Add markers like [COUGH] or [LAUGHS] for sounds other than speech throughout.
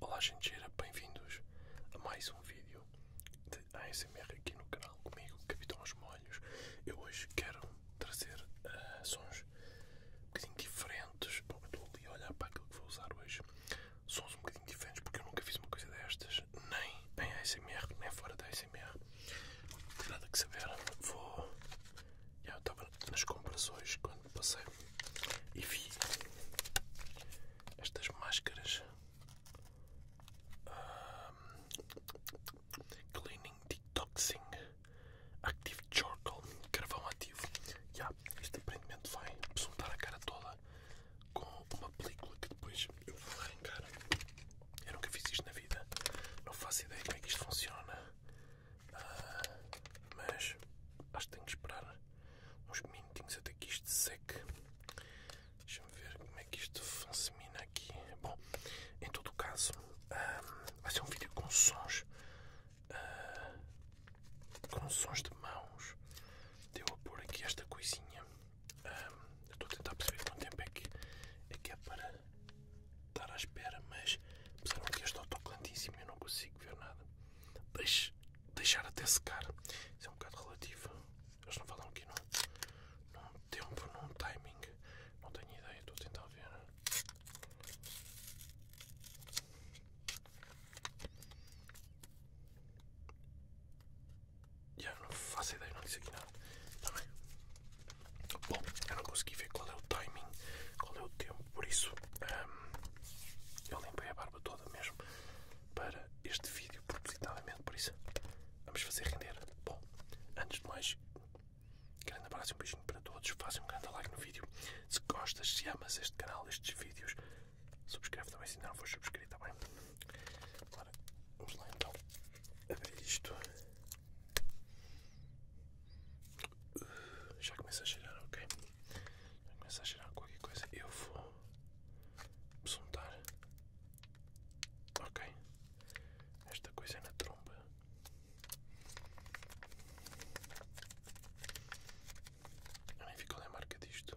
Olá gente, bem-vindos a mais um vídeo da ASMR aqui no canal comigo, Capitão Os Molhos. Eu hoje quero trazer eh, sons um bocadinho diferentes. Bom, estou ali a olhar para aquilo que vou usar hoje. Sons um bocadinho diferentes porque eu nunca fiz uma coisa destas, nem nem, nem ASMR, nem fora da ASMR. Não tem nada que saber. Vou. Eu estava nas compras hoje quando passei e vi estas máscaras ah, Cleaning Detoxing Active Charcoal Carvão Ativo. Yeah, este aparentemente vai absorver a cara toda com uma película que depois eu vou arrancar eu nunca fiz isto na vida. Não faço ideia como é que isto funciona. Ah, mas acho que tenho que esperar uns minutinhos até que isto seque. Deixa-me ver como é que isto funciona aqui. Bom, em todo o caso, ah, vai ser um vídeo com sons. Ah, com sons de mãos. Deu a pôr aqui esta coisinha estou a tentar perceber quanto tempo é que é, é para estar à espera, mas apesar de que este autoclantíssimo eu não consigo ver nada. Deixe, deixar até secar. Isso é um bocado relativo. Eles não falam aqui num, num tempo, num timing. Não tenho ideia, estou a tentar ver. Já não faço ideia, não disse aqui nada. Está bem? Bom, eu não consegui ver qual é o timing, qual é o tempo, por isso hum, eu limpei a barba toda mesmo para este vídeo propositadamente, por isso vamos fazer render. Bom, antes de mais, grande abraço e um beijinho para todos, fazem um grande like no vídeo. Se gostas, se amas este canal, estes vídeos, subscreve também se ainda não for subscrito, está bem? Agora vamos lá então abrir isto. Uh, já começa a cheirar, ok? Já começa a cheirar qualquer coisa. Eu vou soltar. Ok. Esta coisa é na tromba. Eu nem fico a ler a marca disto.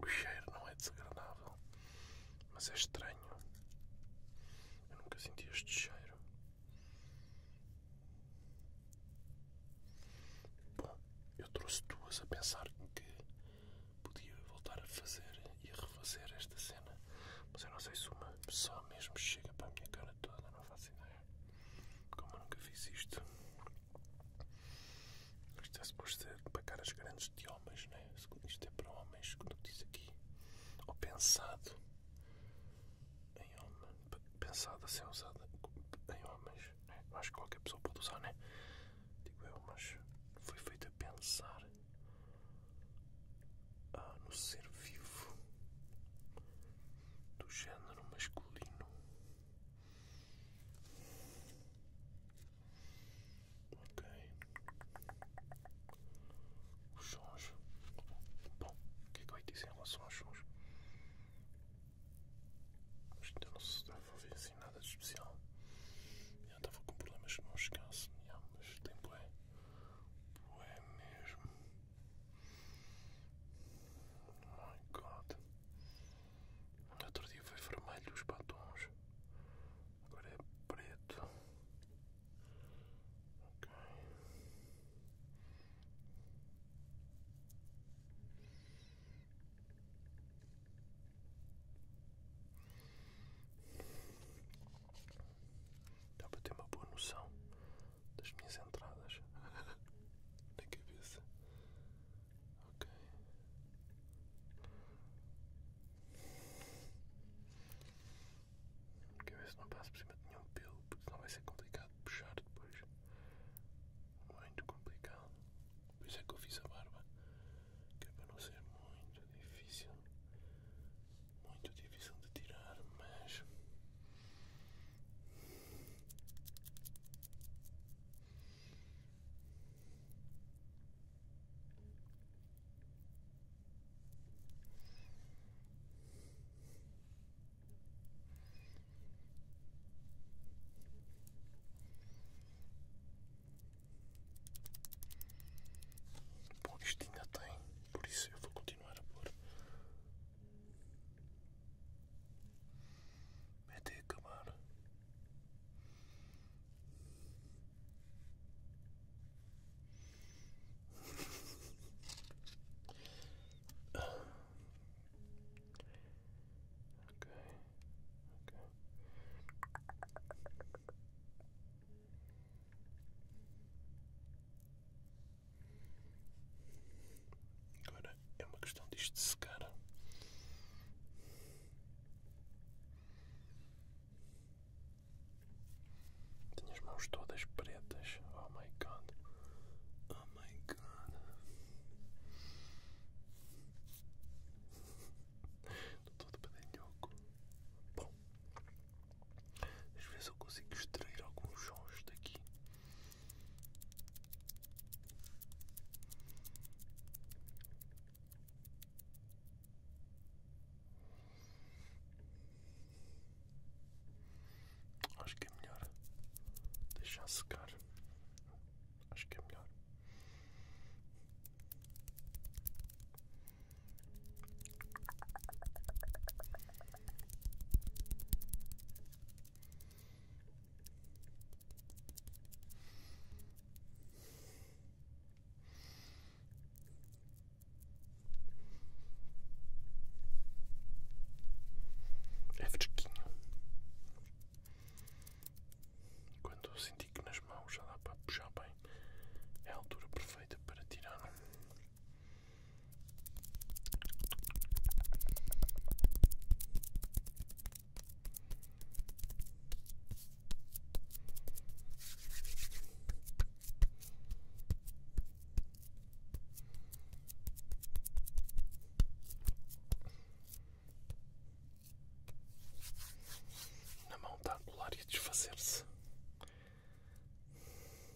O cheiro não é desagradável, mas é estranho. Eu nunca senti este cheiro. Bom, eu trouxe duas a pensar que podia voltar a fazer e a refazer esta cena, mas eu não sei se uma só mesmo chega para a minha cara toda, não faço ideia. Como eu nunca fiz isto. Isto é suposto ser para caras grandes de homens, né? Isto é para homens, como diz aqui. Ou pensado em homem. Pensado a ser usado em homens. É? Acho que qualquer pessoa pode usar, né? Digo eu, mas foi feito a pensar ah, no ser vivo do género masculino. Ok. o sons. Bom, o que é que eu ia dizer em relação aos sons? Acho então que não se deve fazer assim nada de especial. Eu estava com problemas que não chegasse, mas tempo é. Bué mesmo. Oh my god. No outro dia foi vermelho os batons, agora é preto. Ok. Dá para ter uma boa noção das minhas entradas [LAUGHS] na cabeça. Ok. Quer ver se não passa por cima de nenhum pelo, porque senão vai ser complicado puxar depois. Muito complicado. Por isso é que eu fiz a barba. Que é para não ser muito difícil. Muito difícil de tirar, mas Bom, isto ainda tem, por isso eu vou continuar a pôr Mete, come on. Okay. Good. é uma questão disto de secar. Tenho as mãos todas pretas. Oh my god. Oh my god. Estou todo pedalhoco. Bom, às vezes eu consigo extrair alguns sons daqui. Acho que é melhor deixar secar. Acho que é melhor. É fresquinho. Quando eu senti que nas mãos já dá para puxar bem, é a altura perfeita para tirar. Na mão está a colar e desfazer-se.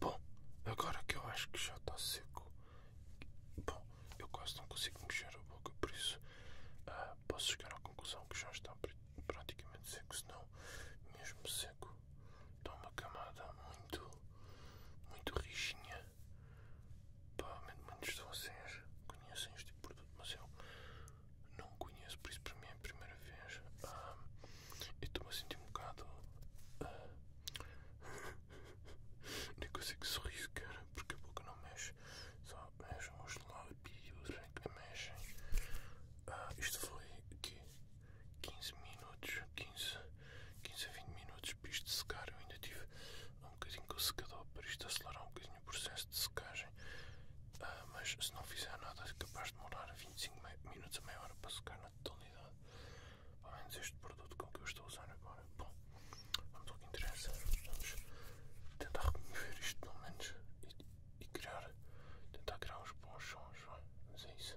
Bom, agora que eu acho que já está seco, bom, eu quase não consigo mexer a boca, por isso ah, posso chegar à conclusão que já está praticamente seco, se não mesmo seco dá tá uma camada muito, muito rijinha. Provavelmente muitos de vocês conhecem este tipo de produto, mas eu não conheço, por isso para mim é a primeira vez. Ah, estou-me a sentir um bocado. Ah, [LAUGHS] nem consigo sorrir, cara, porque a boca não mexe, só mexem os lábios é que mexem. Ah, isto foi aqui 15 minutos, 15, 15 a 20 minutos para isto secar. Eu ainda tive um bocadinho com o secador para isto acelerar um bocadinho o processo de secagem. Ah, mas se não fizer nada, é capaz faz demorar 25 minutos a meia hora para secar na totalidade. Pelo menos este produto com que eu estou a usar agora. Bom, vamos ao que interessa. Vamos tentar remover isto pelo menos e, criar. tentar criar uns bons sons, vai? Mas é isso.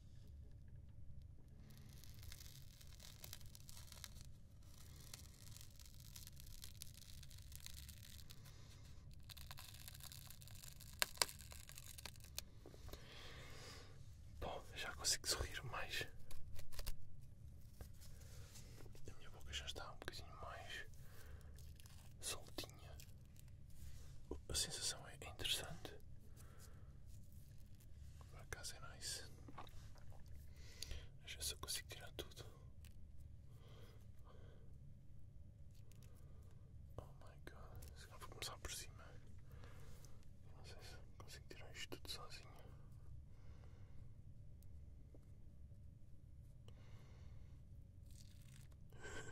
Bom, já consigo sorrir mais. A minha boca já está um bocadinho mais soltinha. A sensação é interessante. Pra casa é nóis. Deixa eu só consigo tirar tudo. Oh my god, se não vou começar por cima. não sei se consigo tirar isto tudo sozinho. [LAUGHS]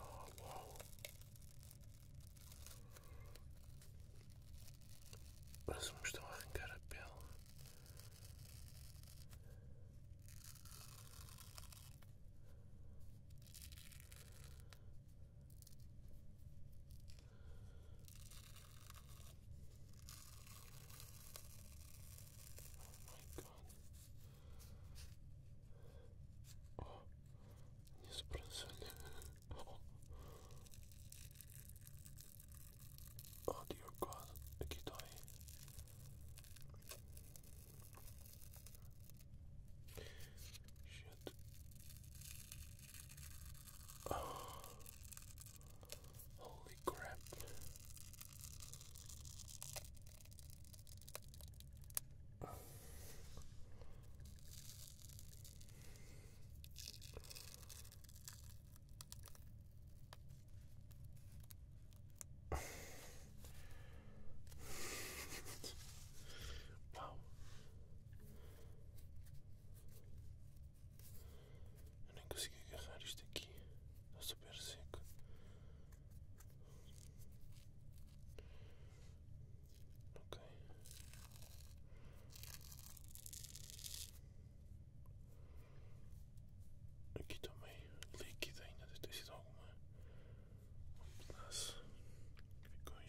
Oh, uau! Parece que me estão a arrancar a pele. Oh my god. О, не сбросили. О, dear god, Китай. Shit. Holy crap. Uau! Eu nem consigo agarrar isto aqui super Aqui também líquido ainda de ter sido alguma um pedaço ficou em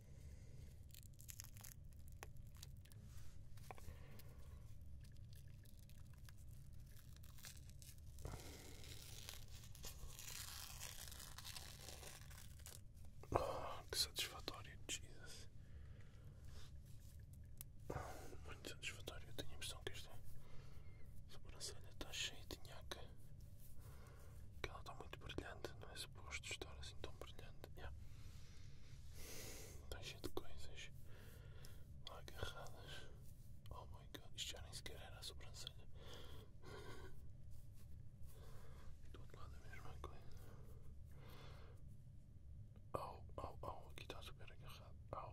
Oh, que satisfatório, Jesus. muito satisfatório. Eu tenho a impressão que esta sobrancelha está cheia de nhaca que ela está muito brilhante, não é suposto estar assim tão brilhante. Yeah. Está cheio de coisas agarradas. Oh my god, isto já nem sequer era a sobrancelha. do outro lado a mesma coisa. oh oh oh aqui está super agarrado. Au.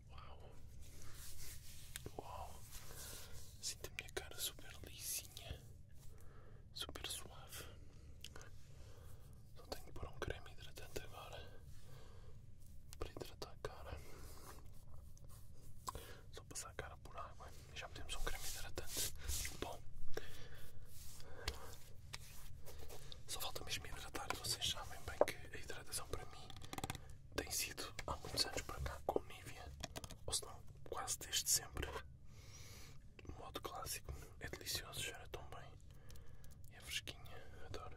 Uau! Uau! Sinto a minha cara super lisinha, super suave. Só tenho que pôr um creme hidratante agora para hidratar a cara. Só passar a cara por água e já metemos um creme hidratante. Bom, só falta mesmo hidratar. Vocês sabem bem que a hidratação para mim tem sido há muitos anos para cá com Nivea, ou se não, quase desde sempre. O modo clássico é delicioso, cheira tão bem. É fresquinha, adoro.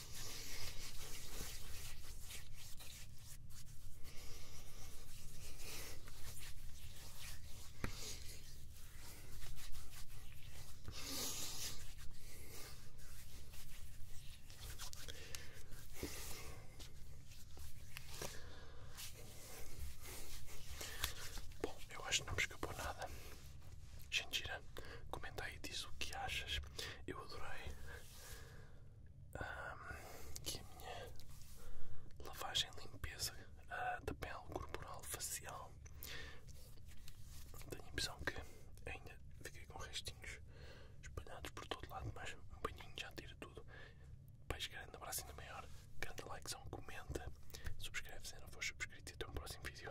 Bom, eu acho que não me escapou nada. Xandira, comenta aí, diz o que achas. Eu adorei um, a minha lavagem limpeza uh, da pele corporal facial. Tenho a impressão que ainda fiquei com restinhos espalhados por todo lado, mas um banhinho já tira tudo. Peixe grande, abraço ainda maior, grande likezão, comenta, subscreve se ainda não for subscrito e até um próximo vídeo.